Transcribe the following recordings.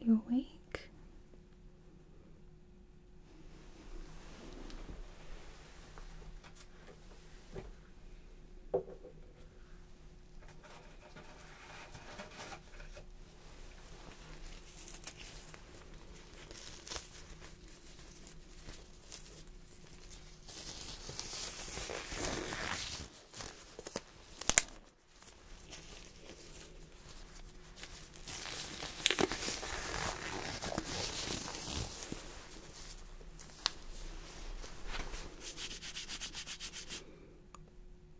Are you awake?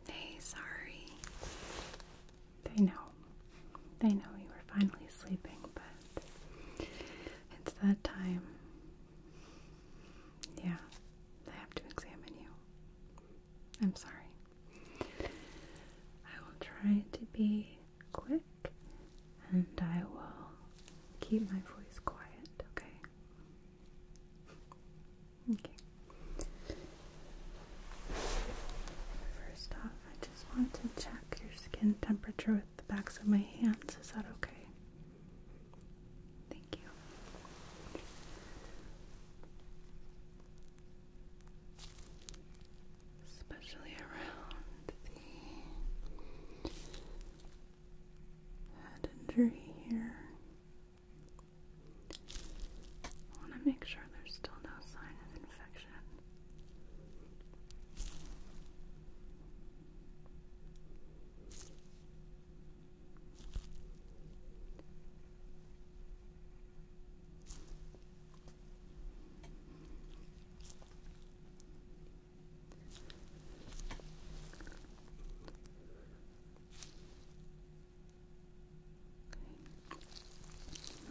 Hey, sorry. They know. They know you were finally sleeping, but it's that time. Yeah, they have to examine you. I'm sorry. I will try to be quick and I will keep my voice quiet, okay? Okay. First off, I just want to check your skin temperature with the backs of my hands. Is that okay? Thank you. Especially around the head injury here. I want to make sure there's still no sign of infection.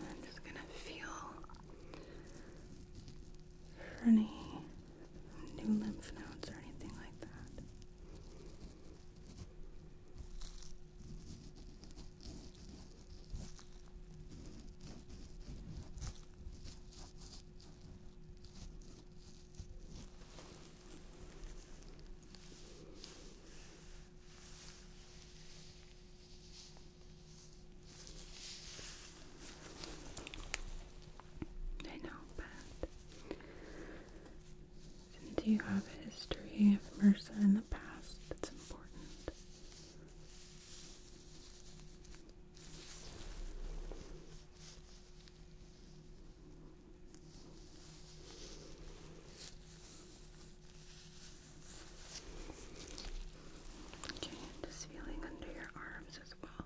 I'm just going to feel for any new lymph nodes or anything like that. They're not and do you have a history of MRSA in the past that's important? Okay, i just feeling under your arms as well.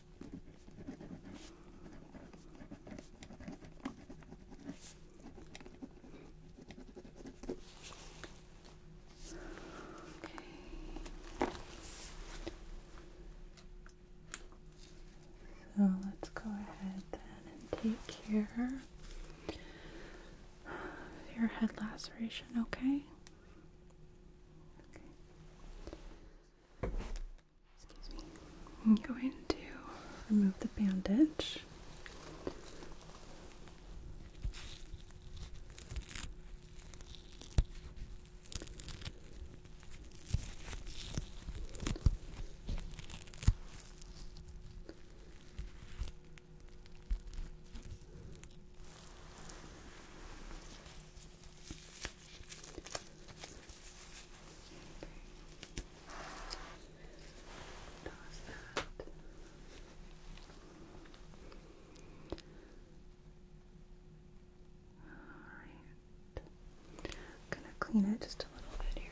So let's go ahead then and take care of your head laceration, okay? Okay. Excuse me. I'm going to remove the bandage. I'm gonna clean it just a little bit here.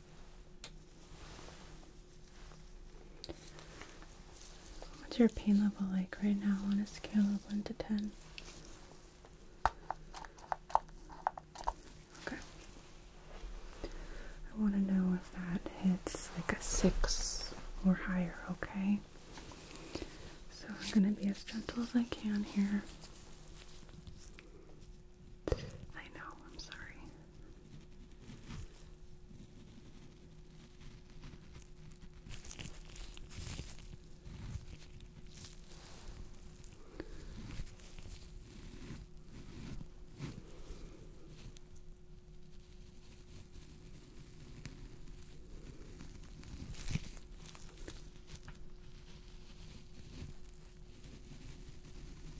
What's your pain level like right now on a scale of 1 to 10? Okay. I want to know if that hits like a 6 or higher, okay? So I'm going to be as gentle as I can here. I know, I'm sorry.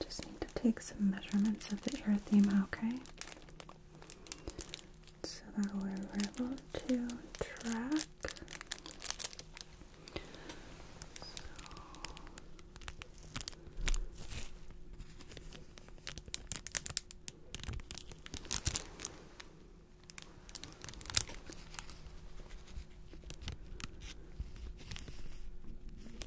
Just need to take some measurements of the erythema, okay? So that way we're able to track.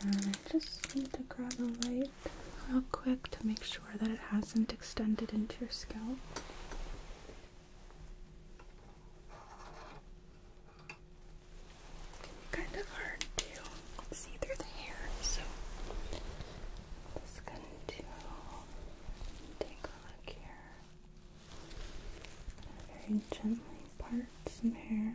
And I just need to grab a light real quick to make sure sure that it hasn't extended into your scalp. kind of hard to see through the hair, so just going to take a look here. Very gently part some hair.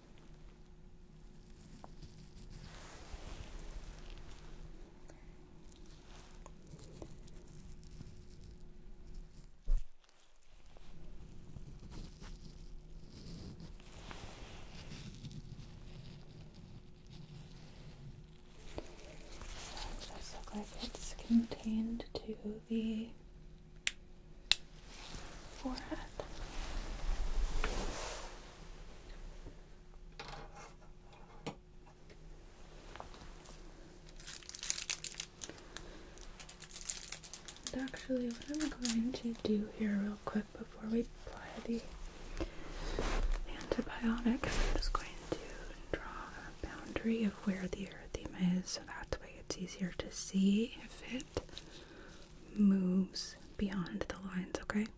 it does look like it's contained to the forehead actually, what I'm going to do here, real quick, before we apply the antibiotic, I'm just going to draw a boundary of where the erythema is so that way it's easier to see if it moves beyond the lines, okay?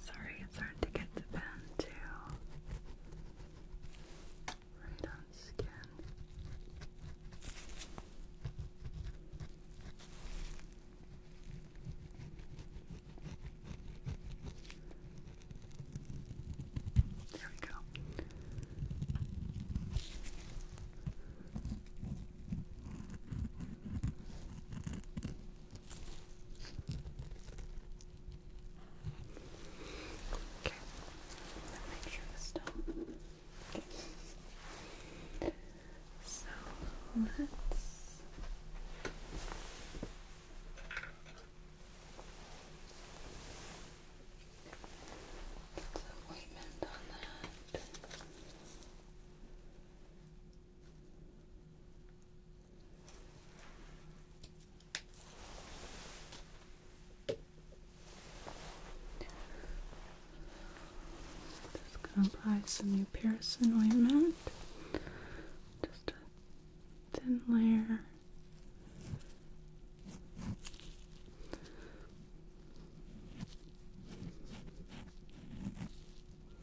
Sorry, it's hard to get the pen to right on skin. There we go. Okay. Make sure this done. So let's get the ointment on that. Just gonna apply some new Pearson ointment. Just a thin layer.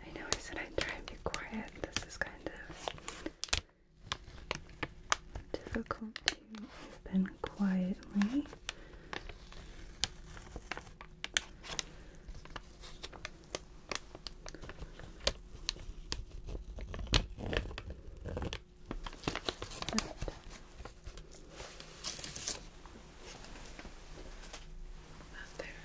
I know I said I'd try and be quiet. This is kind of difficult open quietly. But there.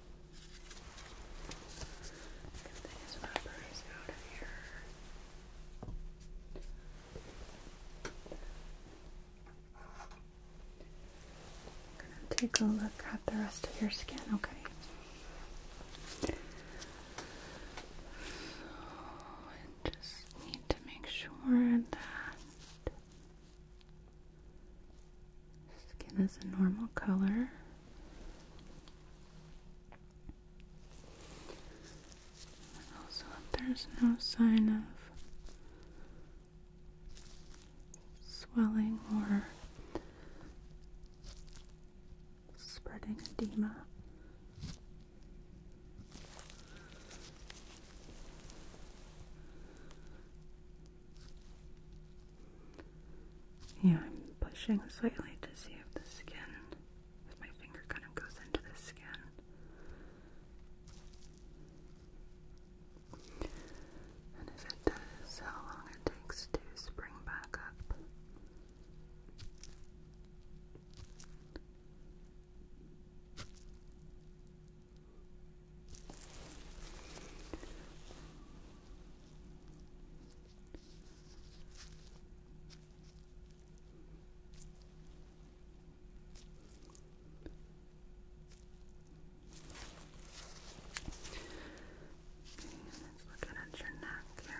I'm gonna take a look at the rest of your skin, okay? So I just need to make sure that Skin is a normal color. also, there's no sign of swelling or spreading edema. Yeah, I'm pushing slightly to see if the skin, if my finger kind of goes into the skin. And if it does, how long it takes to spring back up. Let's at your neck here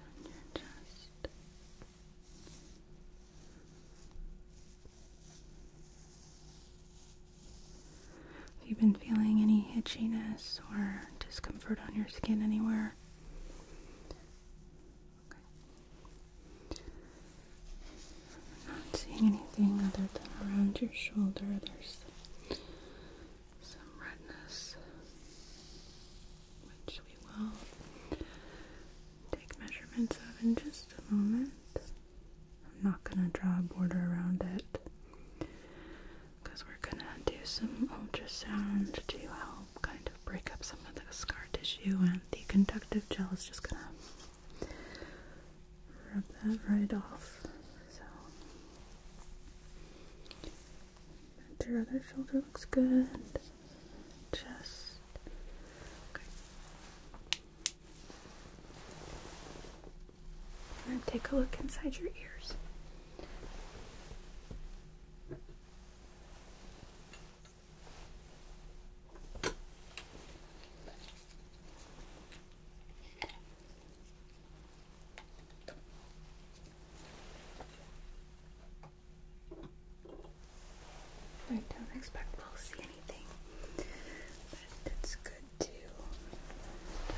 on your Have you been feeling any itchiness or discomfort on your skin anywhere? Not seeing anything other than around your shoulder. There's some redness, which we will take measurements of in just a moment. I'm not going to draw a border around it because we're going to do some ultrasound to help kind of break up some of the scar tissue, and the conductive gel is just going to rub that right off. So your other shoulder looks good. Chest. take a look inside your ears. I don't expect we'll see anything, but it's good to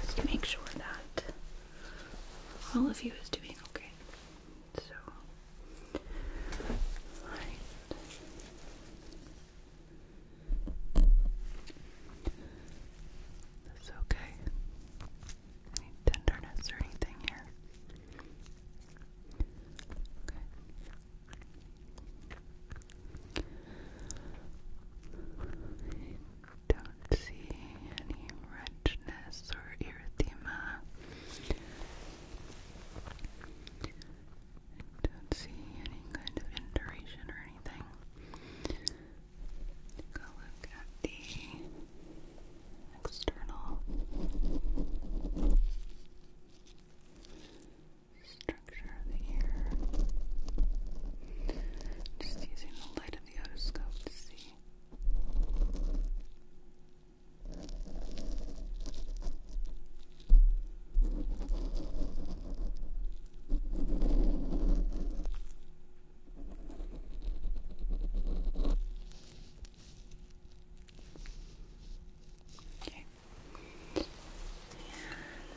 just make sure that all of you is doing okay. So, alright. That's okay. Any tenderness or anything here? don't see any redness or erythema. Don't see any kind of induration or anything. Take look at the external structure of the ear. Just using the light of the otoscope to see. Okay. And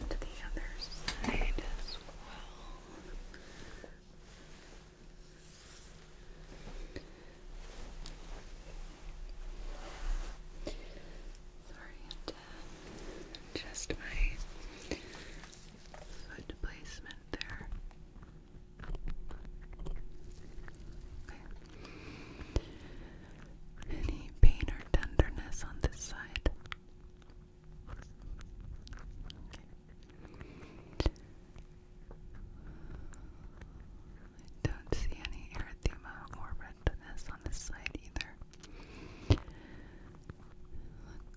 the other side as well. Sorry, just my foot placement there. Any pain or tenderness on this side? don't see any erythema or redness on this side either picture.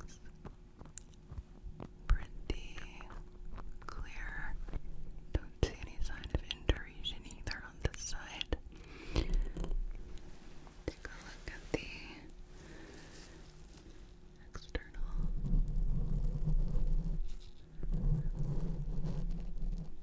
Looks pretty clear. Don't see any sign of induration either on this side. Take a look at the external.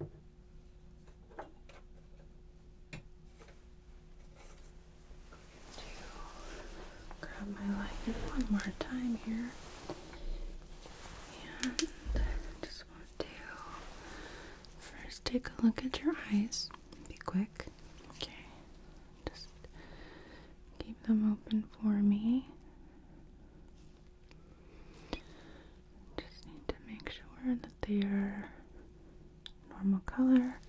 to grab my lighter one more time here and just want to first take a look at your eyes be quick okay just keep them open for me just need to make sure that they are normal color.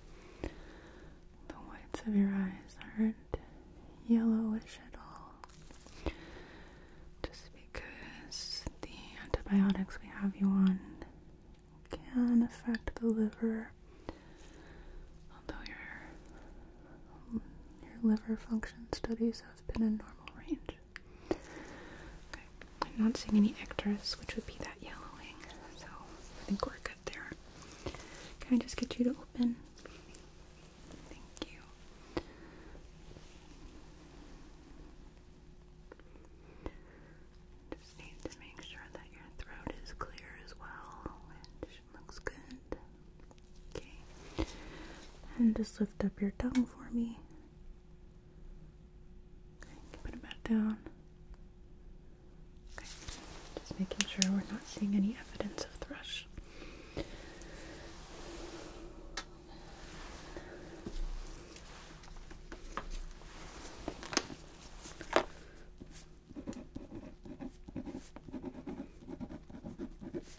The whites of your eyes aren't yellowish at all. Just because the antibiotics we have you on can affect the liver. Although your your liver function studies have been in normal range. I'm not seeing any ectoris, which would be that yellowing, so I think we're good there. Can I just get you to open? Thank you. Just need to make sure that your throat is clear as well, which looks good. Okay. And just lift up your tongue for me. put it back down. Okay. Just making sure we're not seeing any evidence of thrush.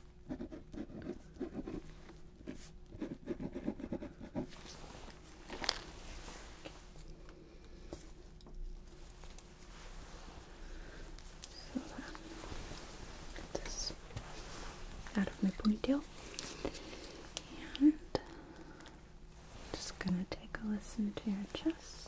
So get this out of my ponytail, and just gonna take a listen to your chest.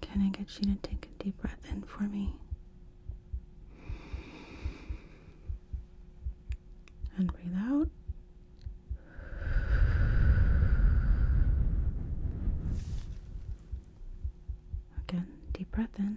Can I get you to take a deep breath in for me? And breathe out. Again, deep breath in.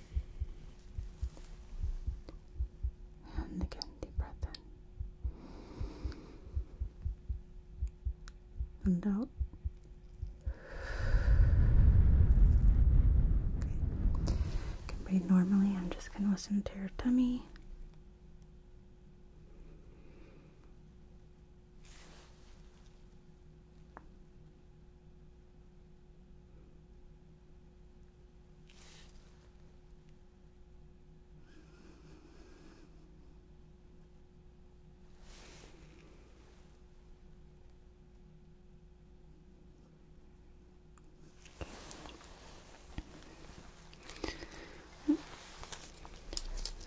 And again, deep breath in and out. Okay. You can breathe normally. I'm just going to listen to your tummy. So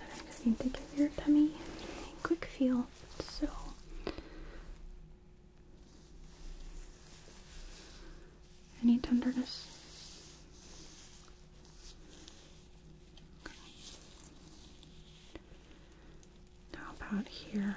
I just need to give your tummy a quick feel. So any tenderness? How about here?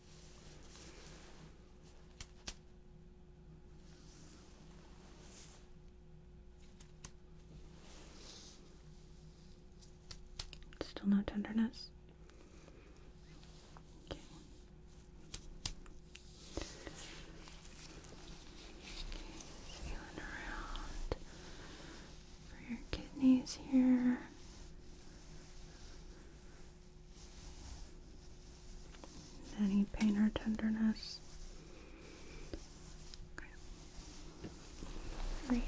Still no tenderness. Okay. feeling around for your kidneys here. Any pain or tenderness? Okay. Great.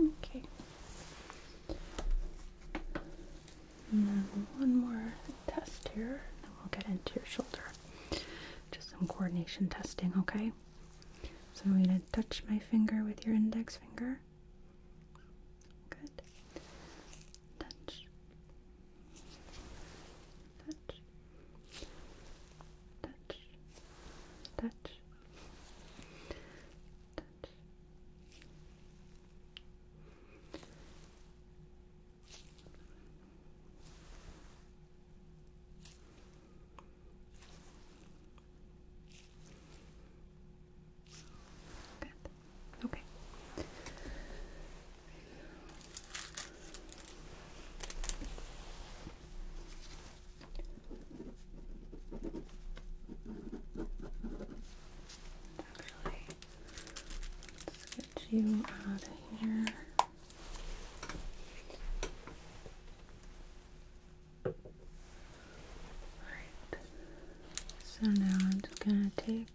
Okay. And then one more test here, and we'll get into your shoulder. Just some coordination testing, okay? So I'm going to touch my finger with your index finger. Good. Touch. Touch. Touch. Touch. Touch. Good. Okay. Actually, let's get you out of here. Alright, so now I'm just gonna take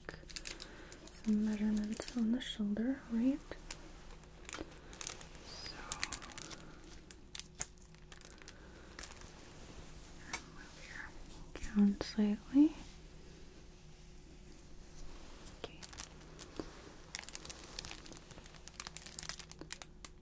some measurements on the shoulder, right? So move your slightly. Okay.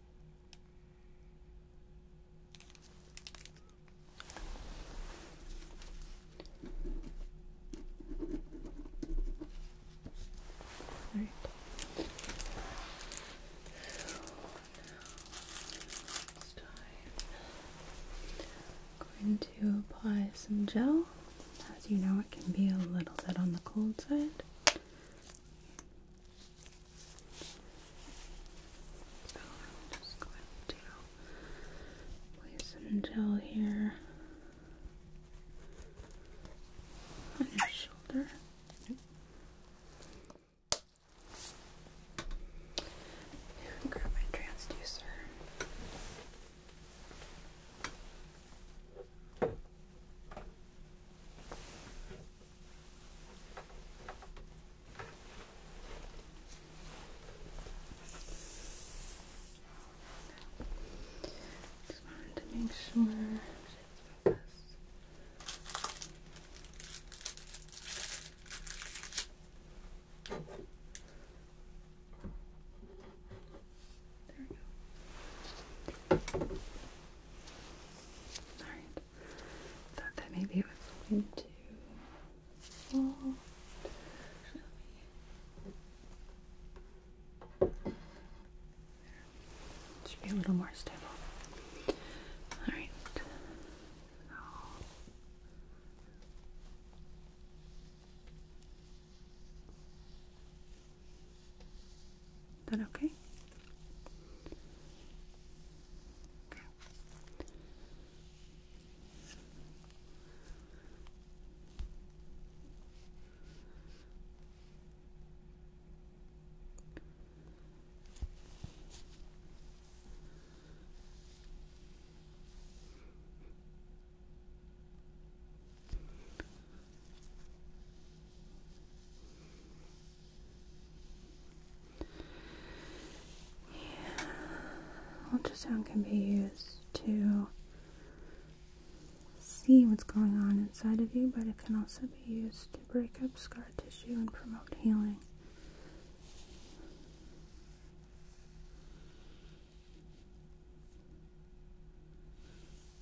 All right. I'm going to apply some gel. As you know, it can be a little bit on the cold side. So I'm just going to place some gel here on your shoulder. grab my transducer. Just wanted to make sure there we go. Alright. Thought that maybe it was going to fall. should be a little more stable. Alright. So is that okay? Okay. Ultrasound can be used to see what's going on inside of you, but it can also be used to break up scar tissue and promote healing.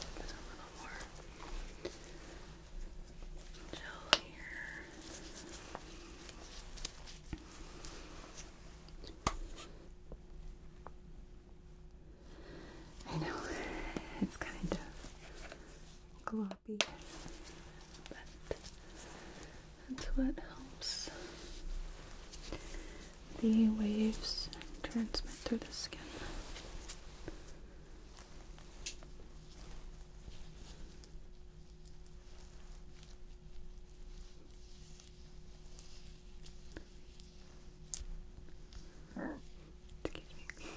a little more gel here. I know it's kind of gloppy, but that's what helps the waves transmit through the skin. Excuse me.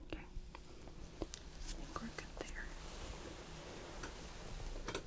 Okay. I think we're good there.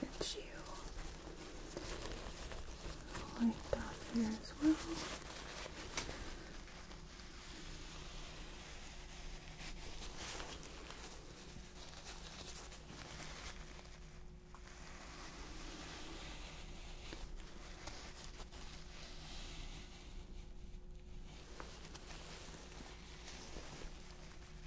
Get you light off here as well.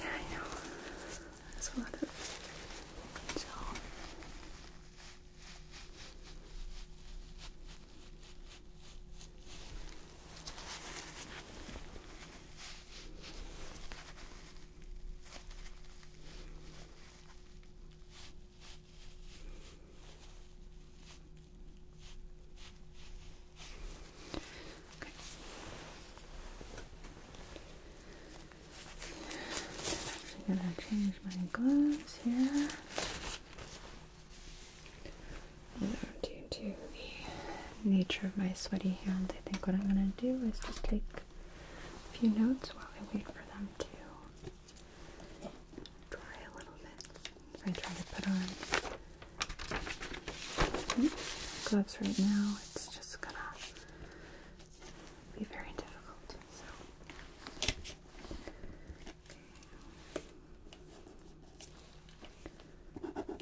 Yeah, I know. There's a lot of gel. I'm actually gonna change my gloves here. And to the nature of my sweaty hands. I think what I'm going to do is just take a few notes while I wait for them to dry a little bit. So I try to put on gloves right now. It's just going to be very difficult. So.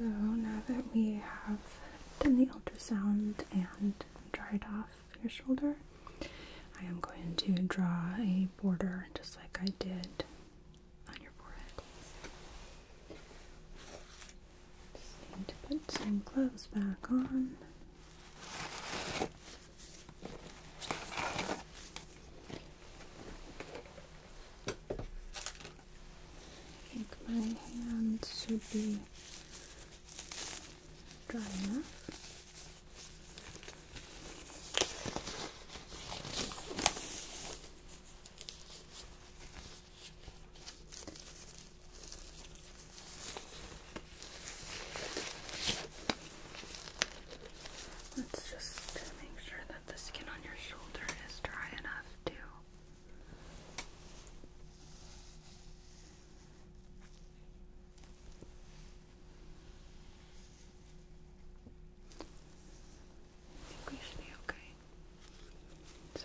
So now that we have done the ultrasound and dried off your shoulder, I am going to draw a border just like I did on your forehead need to put some gloves back on. I think my hand should be dry enough. Let's just make sure that the skin on your shoulder is dry enough to I think we should be okay. It's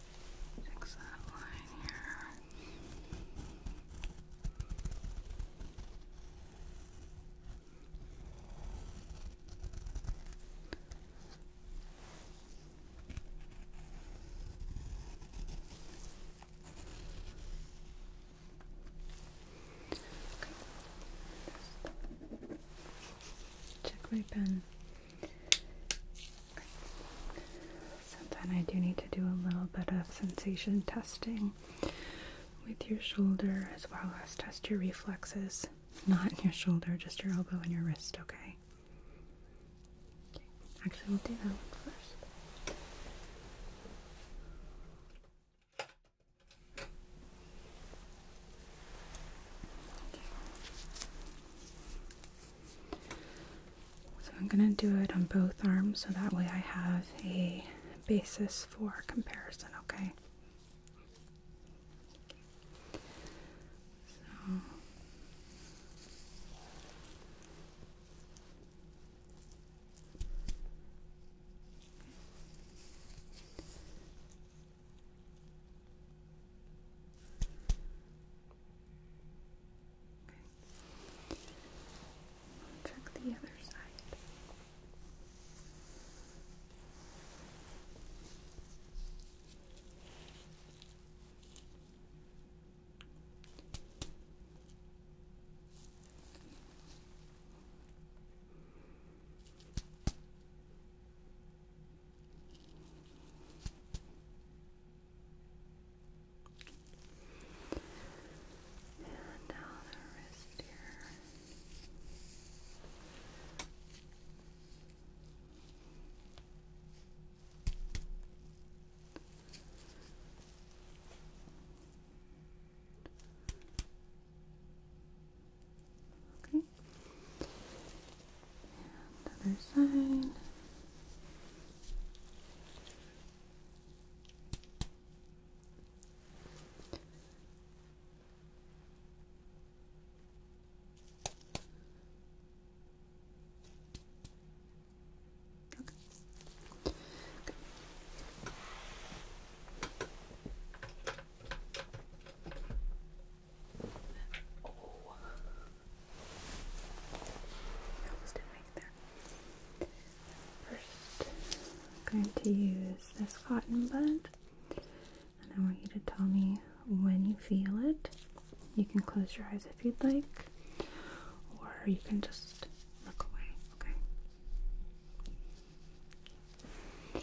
Fix that line here. Check my pen. So then I do need to do a little bit of sensation testing with your shoulder as well as test your reflexes. Not your shoulder, just your elbow and your wrist, okay? Actually, we'll do that one first. So I'm going to do it on both arms so that way I have a basis for comparison, okay? Check the other side. And now the wrist here. Okay the other side. Okay. I I'm going to use this cotton bud, and I want you to tell me when you feel it. You can close your eyes if you'd like, or you can just look away, okay?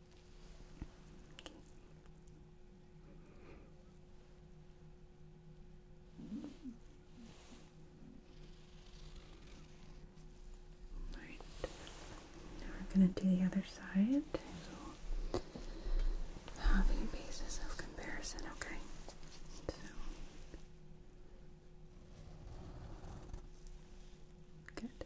Right. Now we're going to do the other side. So basis of comparison, okay? Good.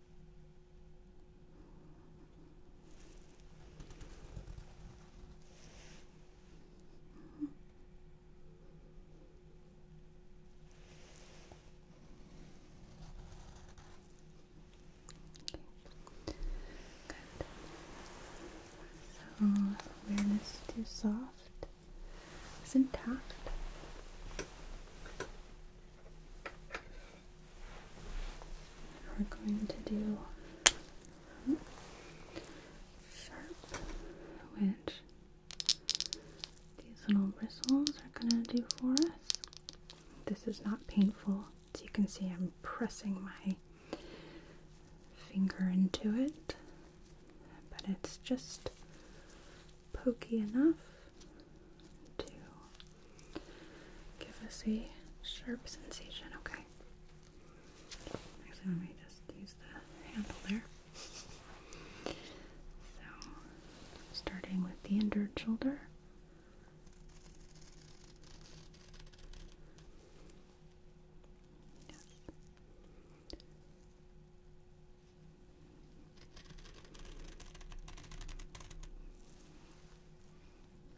So awareness too soft. It's intact. We're going to do sharp, which these little bristles are going to do for us. This is not painful. As you can see, I'm pressing my finger into it, but it's just pokey enough to give us a sharp sensation, okay? Actually, let me just use the handle there. So, starting with the injured shoulder. Yes.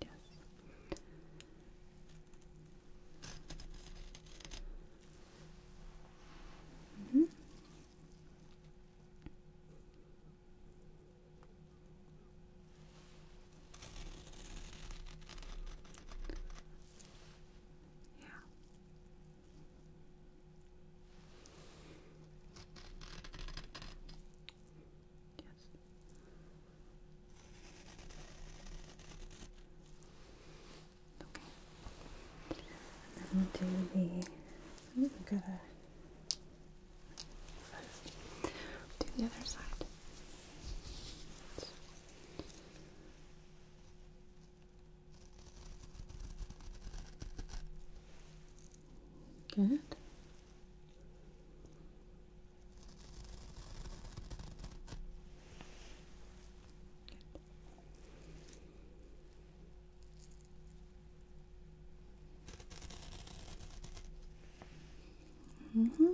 Yes. Mm -hmm. Yeah. Yes. Okay. And do the. I've got a. Do the other side. Good. Good. Mm mm-hmm.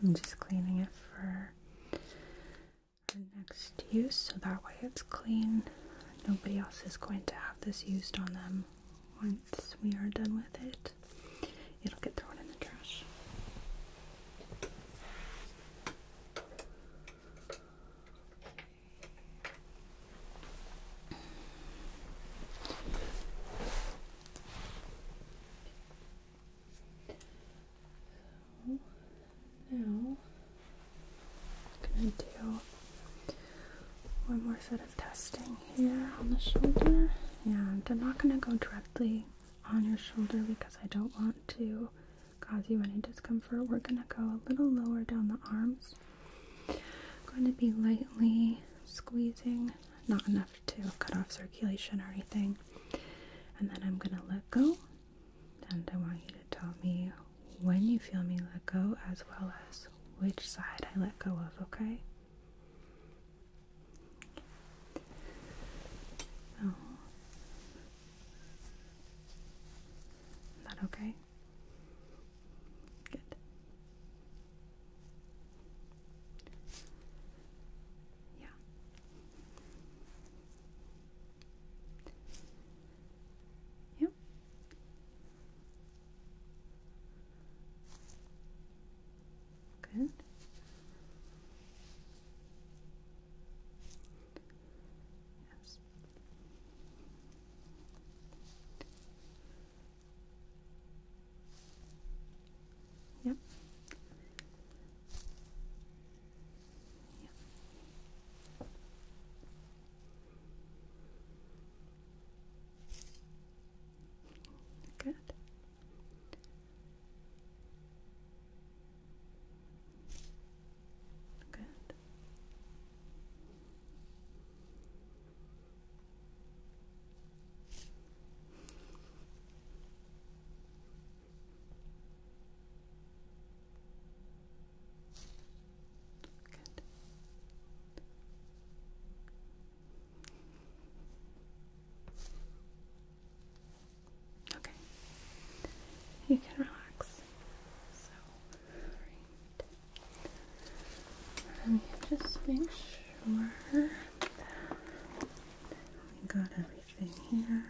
I'm just cleaning it for here next use so that way it's clean. Nobody else is going to have this used on them once we are done with it. It'll get thrown in the trash now going to do one more set of testing here on the shoulder, and I'm not going to go directly on your shoulder because I don't want to cause you any discomfort. We're going to go a little lower down the arms. going to be lightly squeezing, not enough to cut off circulation or anything. And then I'm gonna let go. And I want you to tell me when you feel me let go as well as which side I let go of, okay? is oh. that okay? Good. Yeah. Yep. Good. Yes. Yep. yep. Good. Good. Okay. You can relax. So, Let me just make sure that we got everything. In here.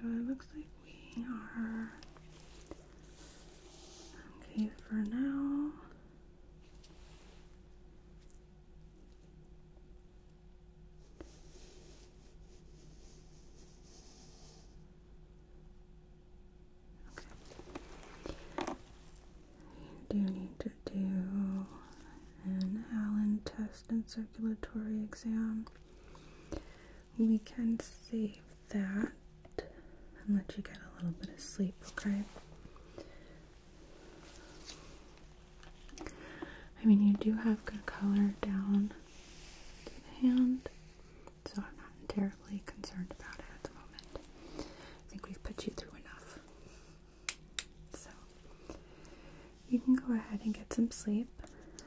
So it looks like we are okay for now. Okay. You do need to do an Allen test and circulatory exam. We can save that and let you get a little bit of sleep, okay? I mean, you do have good color down to So I'm not terribly concerned about it at the moment. I think we've put you through enough. So you can go ahead and get some sleep.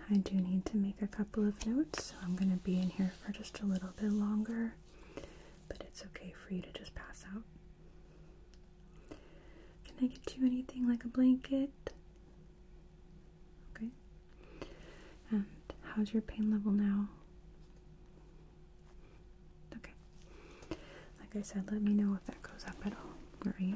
I do need to make a couple of notes, so I'm going to be in here for just a little bit longer, but it's okay for you to just pass out. Can I get you anything like a blanket? Okay. And how's your pain level now? Okay. Like I said, let me know if that goes up at all. Great.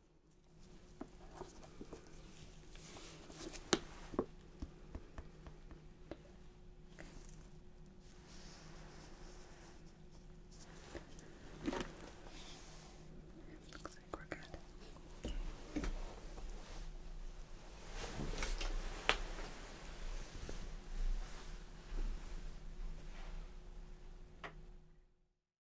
Looks like we're good.